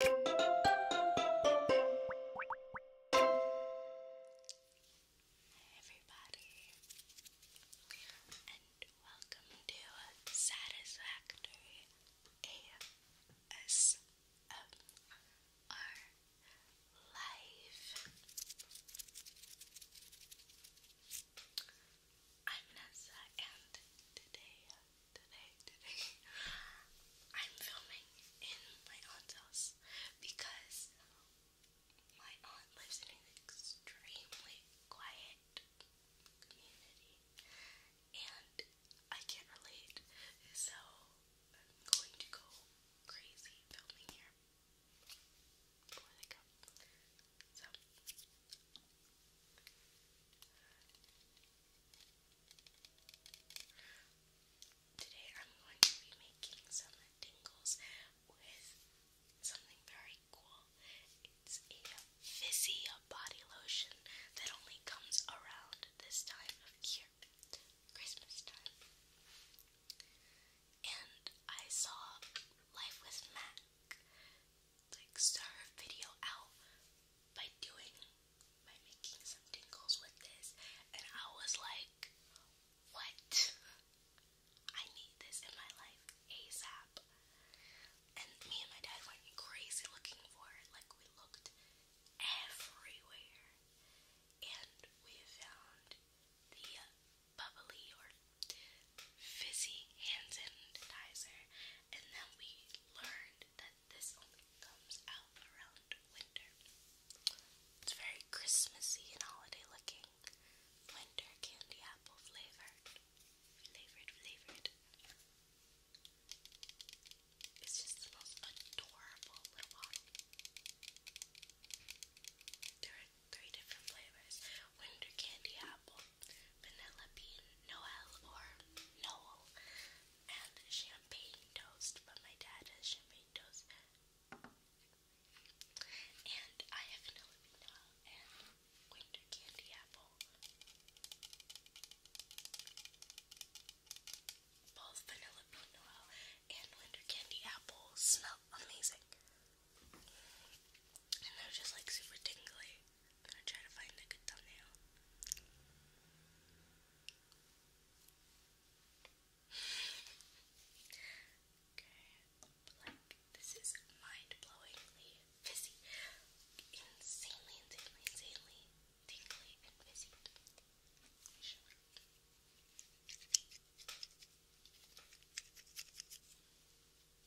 Hi everybody, and welcome to Satisfactory ASMR Live. I'm Nessa, and today today, today, I'm filming in my aunt's house because my aunt lives in an extremely quiet community and I can't relate, so I'm going to go crazy filming here before they come. So, Today I'm going to be making some tingles with something very cool. It's a fizzy body lotion that only comes around this time of year, Christmas time. And I saw Life with Mac like start her video out by doing by making some tingles with this and I was like what I need this in my life ASAP and me and my dad went crazy looking for it like we looked everywhere and we found the bubbly or fizzy hand sanitizer and then we learned that this only comes out around winter. It's very Christmassy and holiday looking. Winter candy apple flavored. Flavored, flavored. It's just the most adorable little bottle. There are three different flavors winter candy apple, vanilla bean, Noel or Noel and champagne toast, but my dad does champagne toast. And I have vanilla vanilla and winter candy apple. Both vanilla vanilla and winter candy apple smell amazing. And they're just like super tingly. I'm gonna try to find a good thumbnail. okay, like this is mind-blowingly fizzy, insanely, insanely, insanely tingly and fizzy.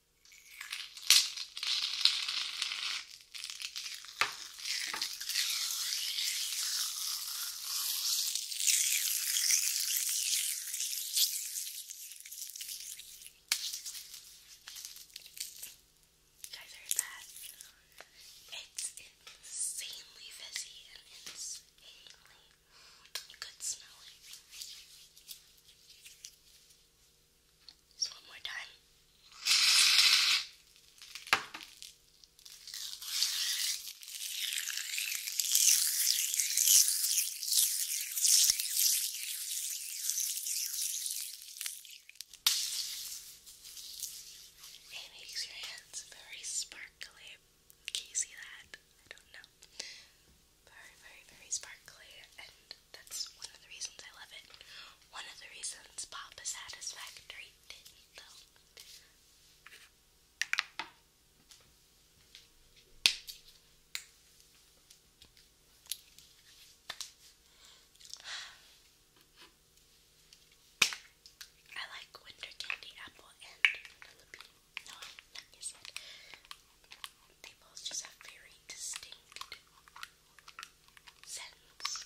You guys heard that? It's insanely fizzy and insanely. You could smell it. Just one more time. It makes your hands very sparkly. Can you see that? I don't know very, very, very sparkly, and that's one of the reasons I love it. One of the reasons Papa Satisfactory didn't, though. I like winter candy apple and they both just have very distinct scents.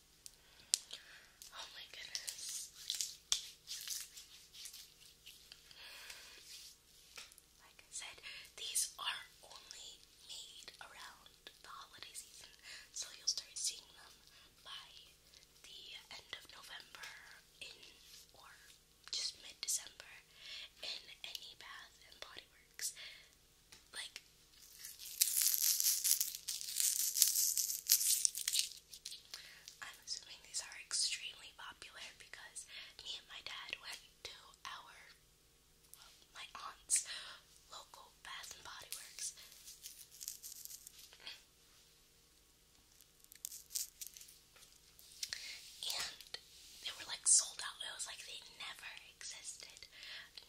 Oh my goodness. Like I said, these are only made around the holiday season, so you'll start seeing them by the end of November in or just mid December in any bath and body works like I'm assuming these are extremely popular because me and my dad went to our my aunt's local Bath and Body Works. And they were like sold out. It was like they never existed.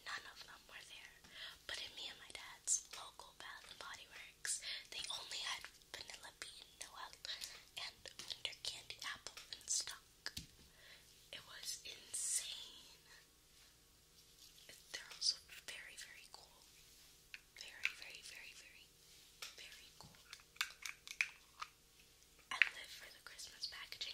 None of them were there. But in me and my dad's local Bath and Body Works, they only had vanilla bean noel and winter candy apple in stock. It was insane. They're also very, very cool. Very, very, very, very, very cool. I live for the Christmas packaging.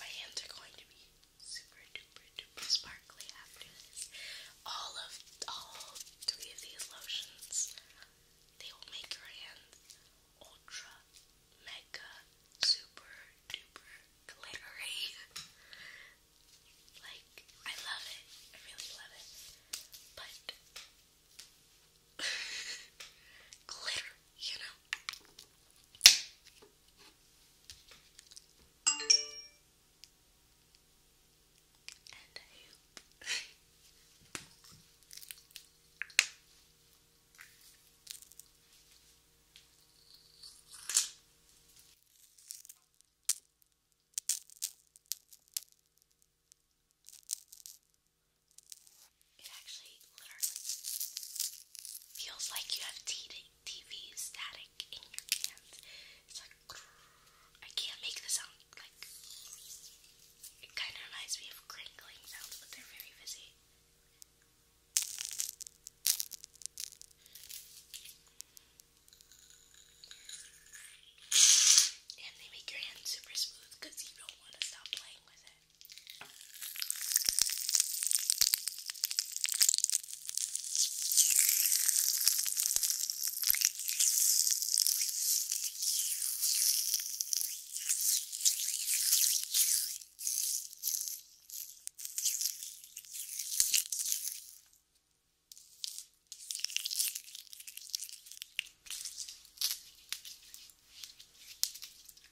My hands are going to be super duper duper sparkly after this. All of all three of these lotions, they will make your hands ultra mega super duper glittery. Like, I love it. I really love it. But glitter, you know. And I It actually literally feels like you have TV static in your hands. It's like, I can't make the sound, like, it kind of reminds me of crinkling sounds, but they're very busy. And they make your hands super smooth because you don't want to stop playing with it.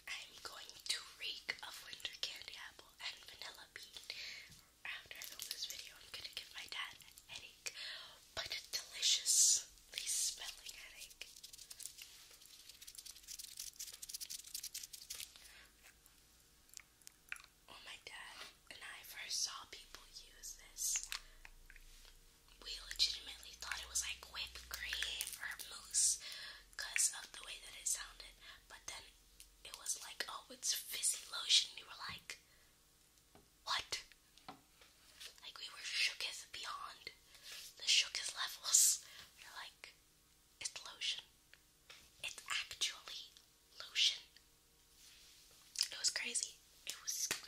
I'm going to reek of winter candy apple and vanilla bean. After I film this video, I'm gonna give my dad a headache, but deliciously smelling headache. Oh when my dad and I first saw people use this, we legitimately thought it was like whipped cream or mousse because of the way that it sounded. But then it was like, oh, it's fizzy lotion. We were like, what? Like, we were shooketh beyond the shooketh levels. like, it's lotion. It's actually lotion. It was crazy. It was crazy.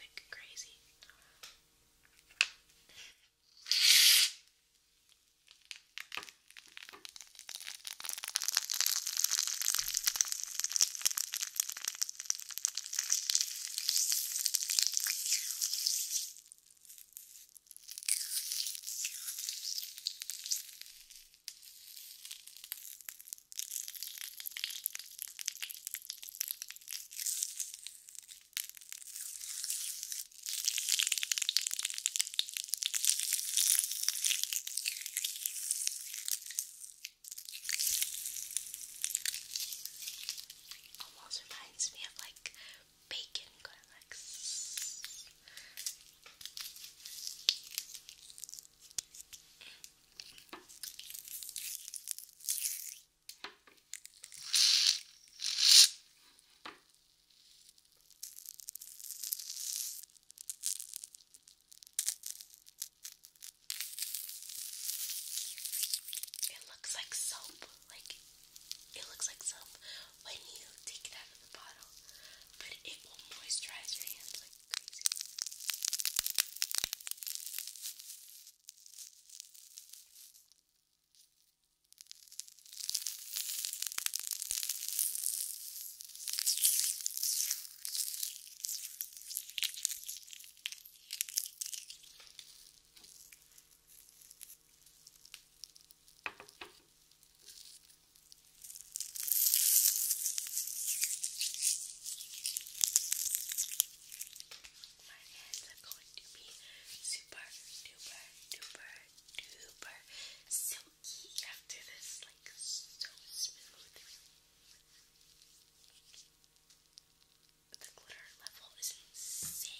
Almost reminds me of like bacon going like. Sss. It looks like soap. Like, it looks like soap, when you take it out of the bottle, but it will moisturize your hands like crazy. My hands are going to be super duper duper duper silky after this, like so smooth. The glitter level is insane.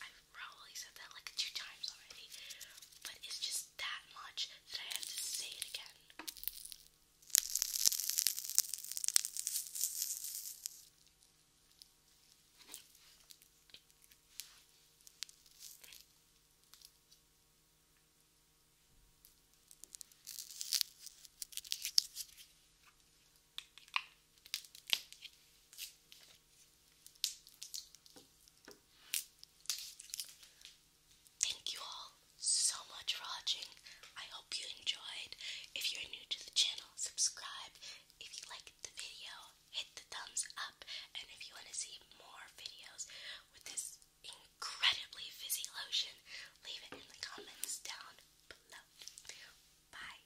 I've probably said that like two times already, but it's just that much that I had to say it again. Thank you all so much for watching. I hope you enjoyed. If you're new to the channel, subscribe. If you liked the video, hit the thumbs up. And if you want to see more videos with this incredibly fizzy lotion, leave it in the comments down below. Bye.